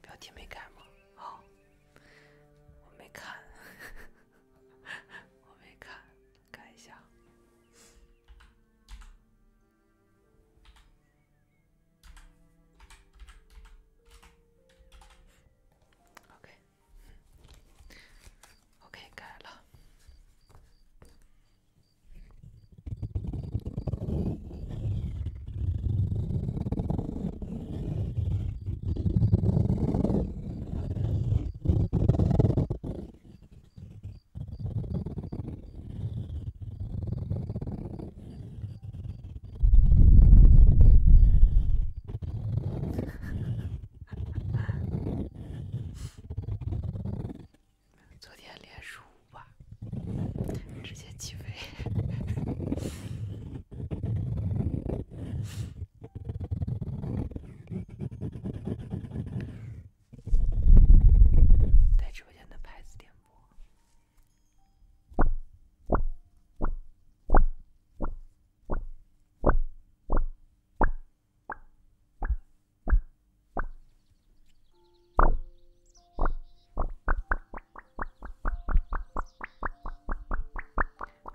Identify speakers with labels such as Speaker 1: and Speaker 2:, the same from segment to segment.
Speaker 1: 标题没改吗？好，我没看，我没看，改一下。OK，OK，改了。昨天连输五把直接起飞，在直播间的牌子点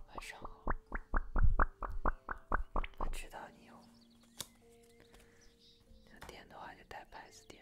Speaker 1: 晚上好，我知道你有点的话就带牌子点。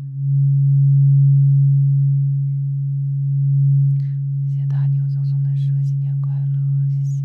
Speaker 1: 谢谢大牛总送的蛇，新年快乐，谢谢。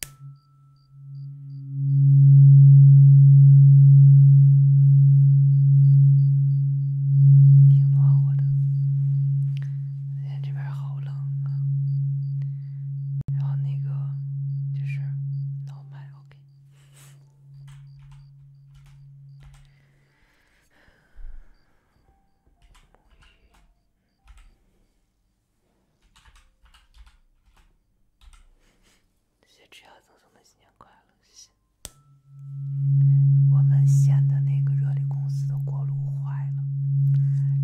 Speaker 1: 挺暖和的，今天这边好冷啊。然后那个就是脑麦，OK。谢谢只要赠送的新年快乐，谢谢。我们县的那个热力公司的锅炉坏了，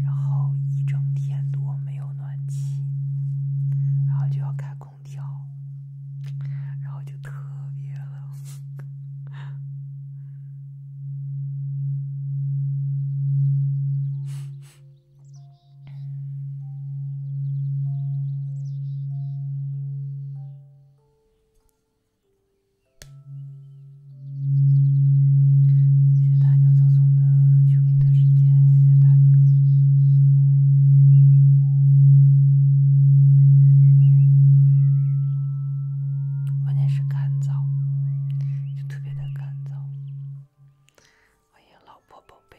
Speaker 1: 然后一整天多没有暖气，然后就要开空调，然后就特别冷。谢谢大牛赠送的秋皮的时间，谢谢大牛。关键是干燥，就特别的干燥。欢迎老婆宝贝，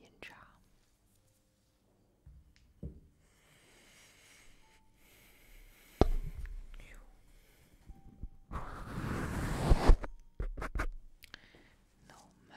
Speaker 1: 吟唱，
Speaker 2: 优美。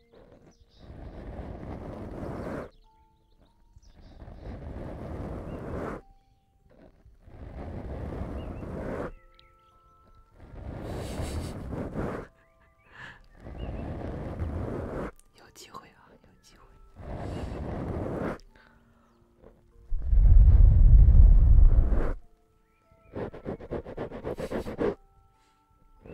Speaker 2: 有机会啊有机会谢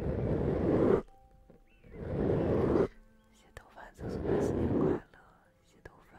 Speaker 2: 谢头发祝大家新年快乐！谢头发。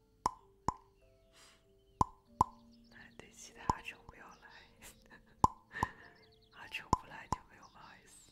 Speaker 1: 对，其他阿秋不要来，阿秋不来就没有骂声。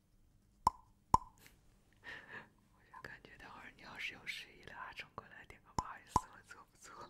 Speaker 2: 我就感觉，等会儿你要是有失忆了，阿成过来点个不好意思，我做不做？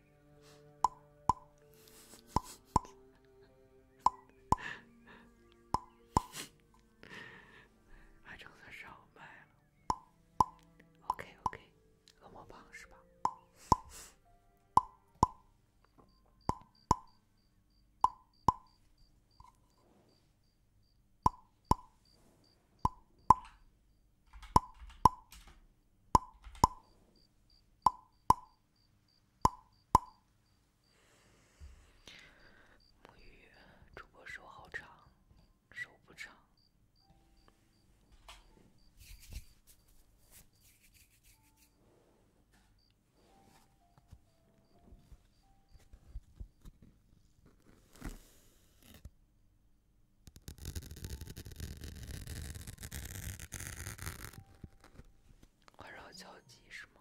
Speaker 1: 还正算上麦了，OK OK，恶魔棒是吧？沐浴，主播手好长，手不长。环绕交集是吗？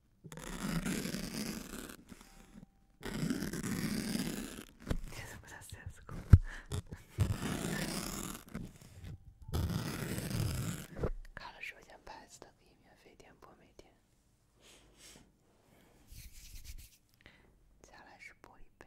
Speaker 1: 看了首先牌子的，可以免费点播每天。再来是播一杯。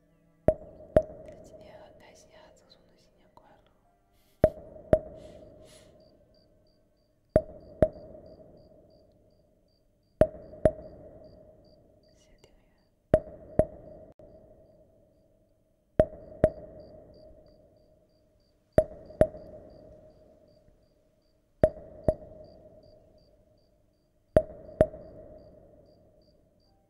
Speaker 1: 他今天很开心啊！祝宋总新年快乐！谢谢大家。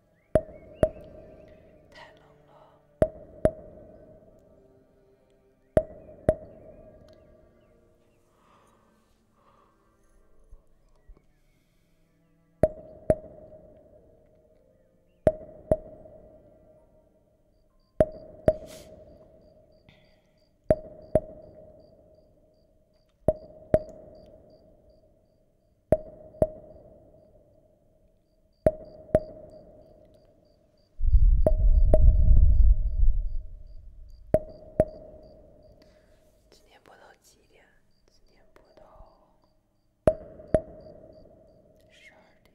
Speaker 1: 太冷了。今天播到几点？今天播到12点。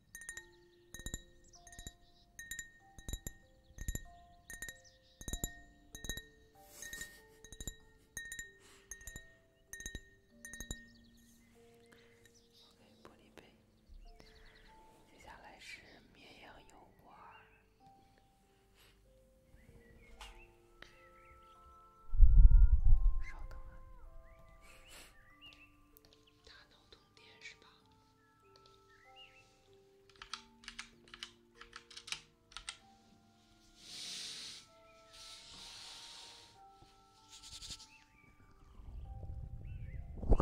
Speaker 1: 玻璃杯，接下来是绵阳游玩。稍等啊，大脑通电是吧？我，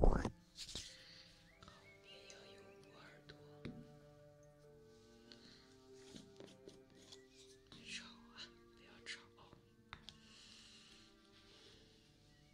Speaker 1: 我。旁边要有我耳朵。别吵啊！不要吵。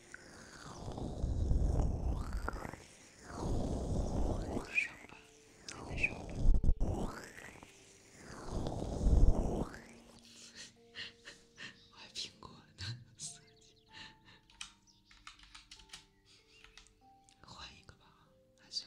Speaker 1: 换苹果呢？换一个吧，还行。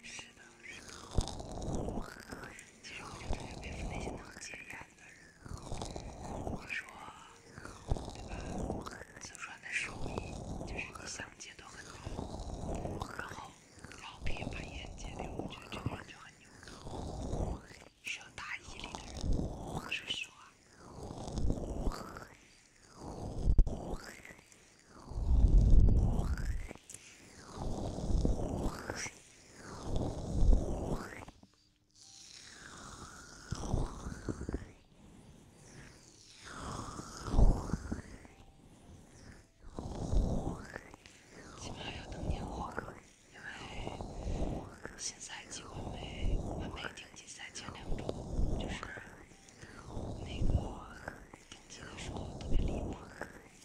Speaker 2: 是的，是的。其实好像这也不是那些能戒烟的人。我说，对吧？四川的手艺就是你想戒都很难，然后要频繁烟戒掉，我觉得这玩意就很牛，需要大毅力。说实话。基
Speaker 1: 本还要等年货，因为新赛季完美完美顶级赛前两周就是那个顶级的
Speaker 2: 双龙特别离谱。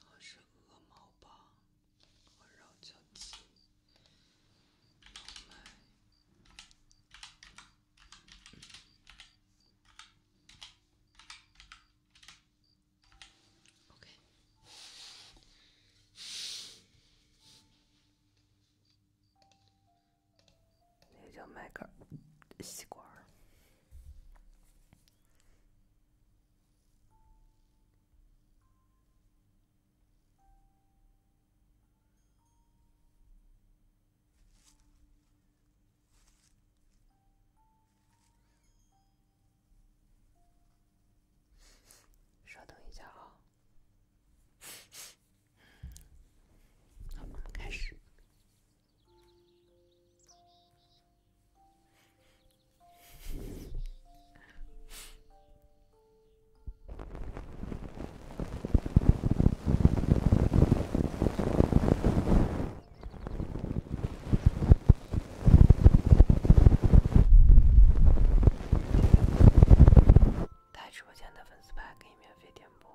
Speaker 2: 然后是
Speaker 1: 鹅毛棒，然后叫鸡毛麦。OK。那个叫麦秆吸管稍等一下啊。好，我们开始。在直播间的粉丝牌可以免费点播。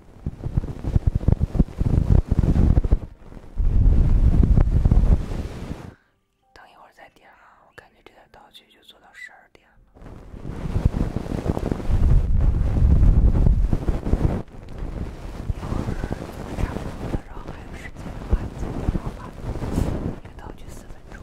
Speaker 2: 等一会儿再点啊！我感觉这段道具就做到十二点了。一会差不多了，然后还有时间的话，再播放吧。一个道具四分钟。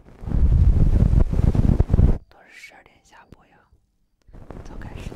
Speaker 1: 都是十二点下播呀，早开时间。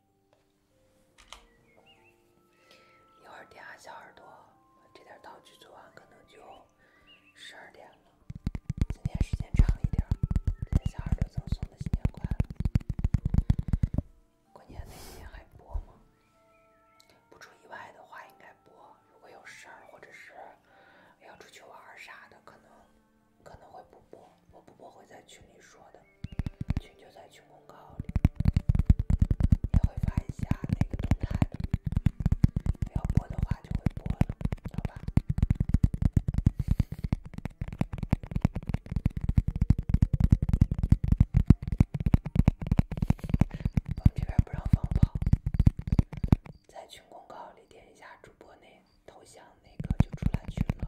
Speaker 1: 一会儿点下小耳朵，这点道具做完可能就十二点了。今天时间长一点，给小耳朵赠送的新年快乐。过年那天还播吗？不出意外的话应该播。如果有事儿或者是要出去玩啥的，可能可能会不播。我不播会在群里说的。群就在群公告，也会发一下那个动态。要播的话就播了，知道吧？我们这边不让放炮，在群公告里点一下主播那头像，那个就出来群了。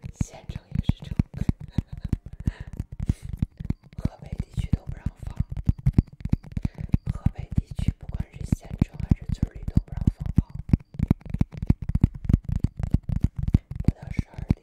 Speaker 1: 县城也是城，河北地区都不让放，河北地区不管是县城还是村里都不让放炮，不到十二点。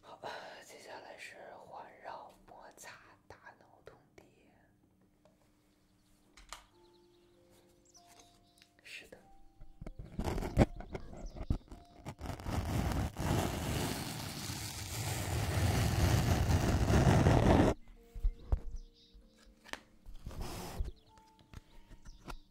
Speaker 1: 好，接下来是环绕摩擦大脑通电。是的。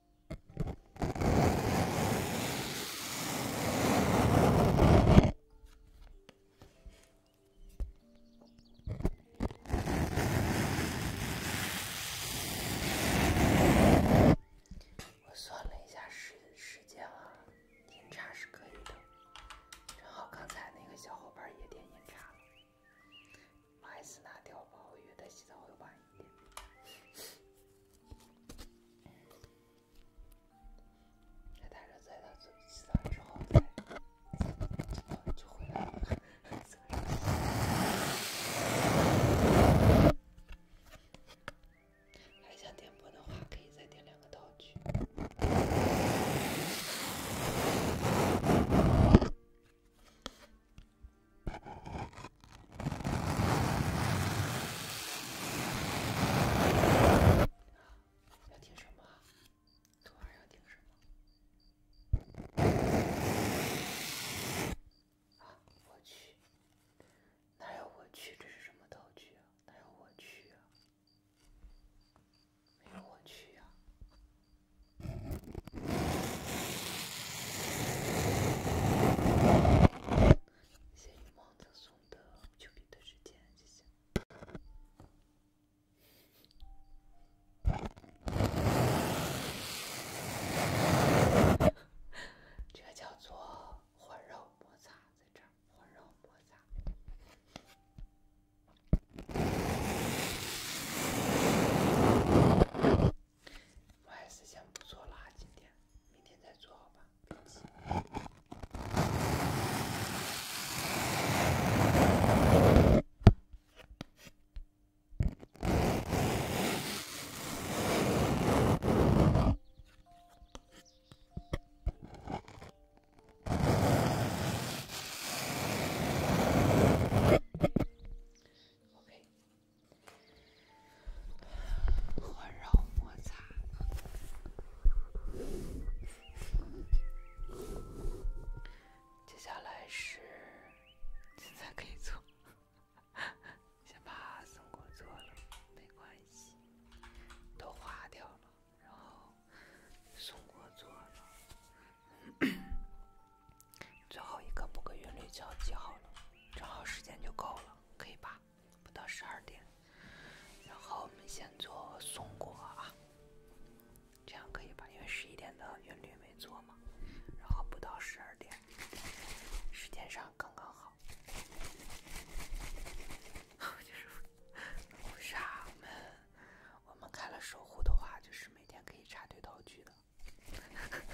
Speaker 1: 我算了一下时间了，点差是可以的，正好刚才那个小伙伴也点点差了，还是那条鲍鱼，他洗澡会晚一点。在打着，在他洗澡之后，就回来了。还想点播的话，可以再点两个道具。要听什么？昨晚要听什么？啊，我去！哪有我去？这是什么道具啊？哪有我去啊？没有我去呀。谢雨梦赠送的秋皮的时间就行。这叫做火肉摩擦，在这儿火肉摩擦。我还是先不做了，今天，明天再做好吧。环绕摩擦。接下来是，现在可以做，先把松果做了，没关系，都划掉了。然后松果做了，最后一个不跟韵律脚记好了，正好时间就够了，可以吧？不到十二点，然后我们先做松果啊，这样可以吧？因为十一点的韵律没做嘛，然后不到十二点，时间上刚刚好。就是护沙门，我们开了守护的话，就是每天可以插队道具的。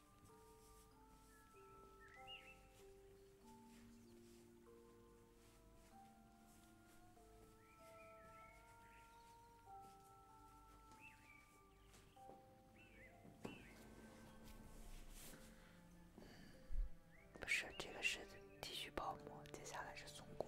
Speaker 1: 不是，这个是剃须泡沫，接下来是松果。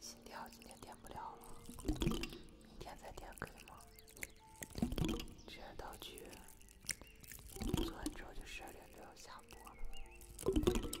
Speaker 1: 心跳今天点不了了，明天再点可以吗？这些道具做完之后，就十二点就要下播了。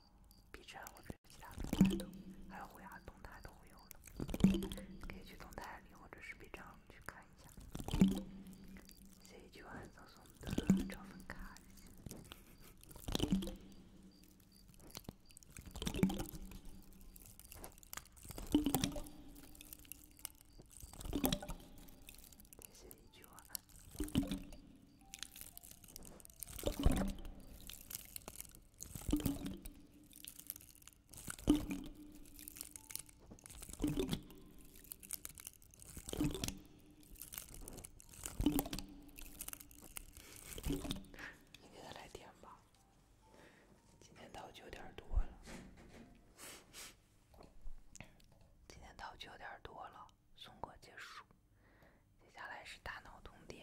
Speaker 1: B 站或者其他平台的，还有会牙动态都会有的，可以去动态里或者是 B 站去看一下。谁今晚送的超分卡？谁今晚？你给他来电吧，今天到九点多了，今天到九点多了，送馆结束。接下来是大脑通电。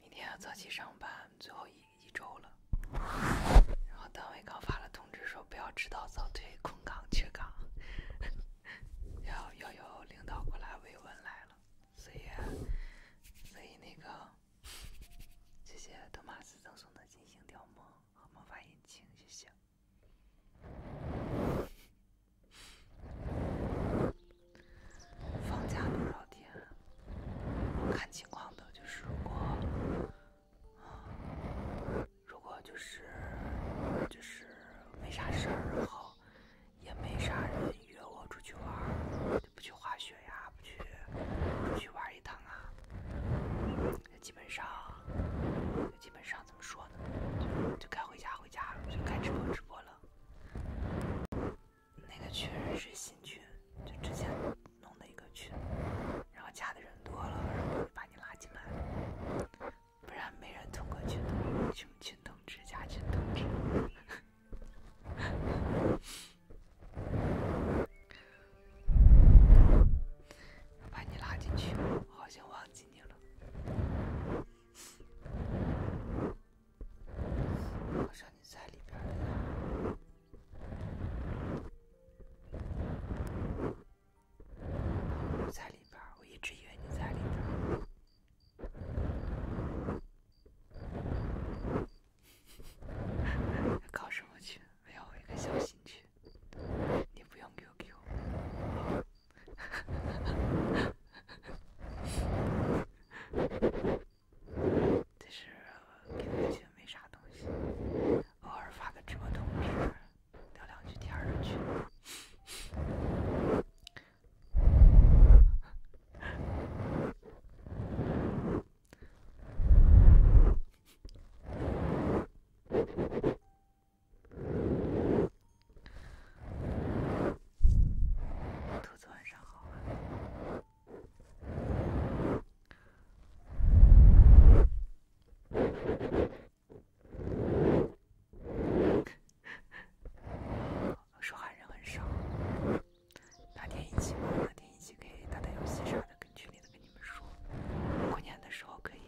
Speaker 1: 明天要早起上班，最后一一周了。然后单位刚发了通知，说不要迟到早退，空岗缺岗，要要有领导过来慰问来了。所以，所以那个，谢谢托马斯赠送的金星吊墨和魔法引擎，谢谢。放假多少天？看情况的，就是如果，如果就是就是没啥事儿，然后也没啥人约我出去玩就不去滑雪呀，不去出去玩一趟啊。基本上，基本上怎么说呢？就就该回家，回家了，就该直播，直播了。那个群是新群，就之前弄的一个群，然后加的人多了，然后就把你拉进来，不然没人通过群通群群通知加群通知。把你拉进去，我好像忘记你了。好像你在里边儿，你在里边我一直以为你在里边儿。搞什么去？没有一个小心去。你不用 QQ，其实 q QQ 没啥东西，偶尔发个直播通知，聊两句天儿的兔子晚上好 人很少，哪天一起？哪天一起可以打打游戏啥的，跟群里的。你们说过年的时候可以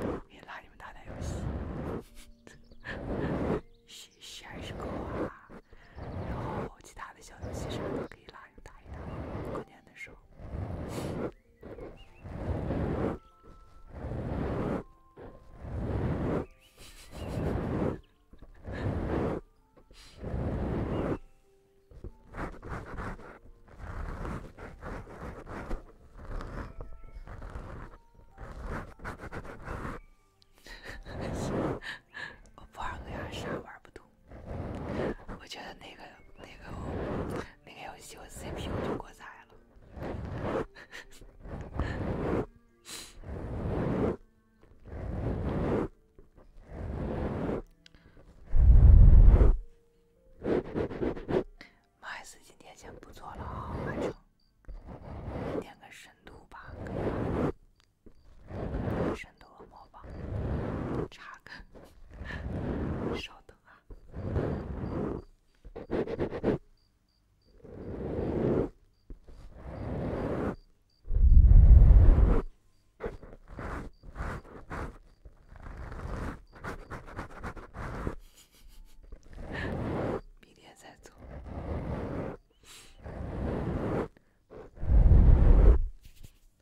Speaker 1: 可以拉你们打打游戏，消消消啊，然后其他的小游戏什么都可以拉你们打一打，过年的时候。我不玩格亚，啥玩不懂。我觉得那个、那个、那个游戏，我 CPU 就过载了。麦斯今天先不做了啊，完成。点个深度吧，深度恶魔吧，查看，稍等啊。明天再走。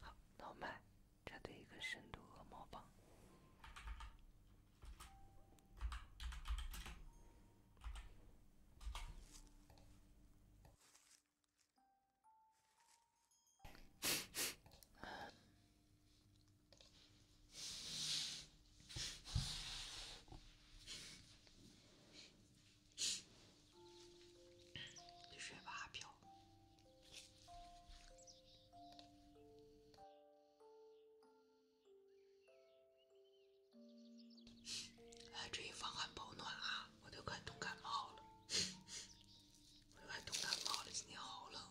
Speaker 1: 好，老麦，扎堆一个深度恶魔榜。别睡吧，阿飘。注意防寒保暖啊！我都快冻感冒了，我都快冻感冒了，今天好冷。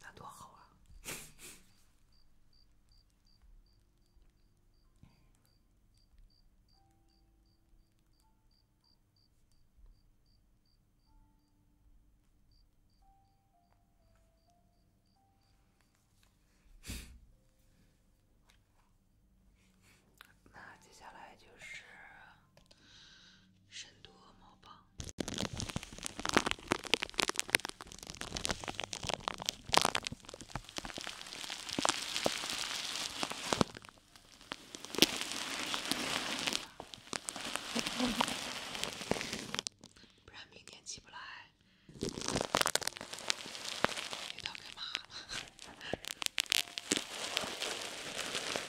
Speaker 1: 那多好啊！那接下来就是深度恶魔吧，不然明天起不来，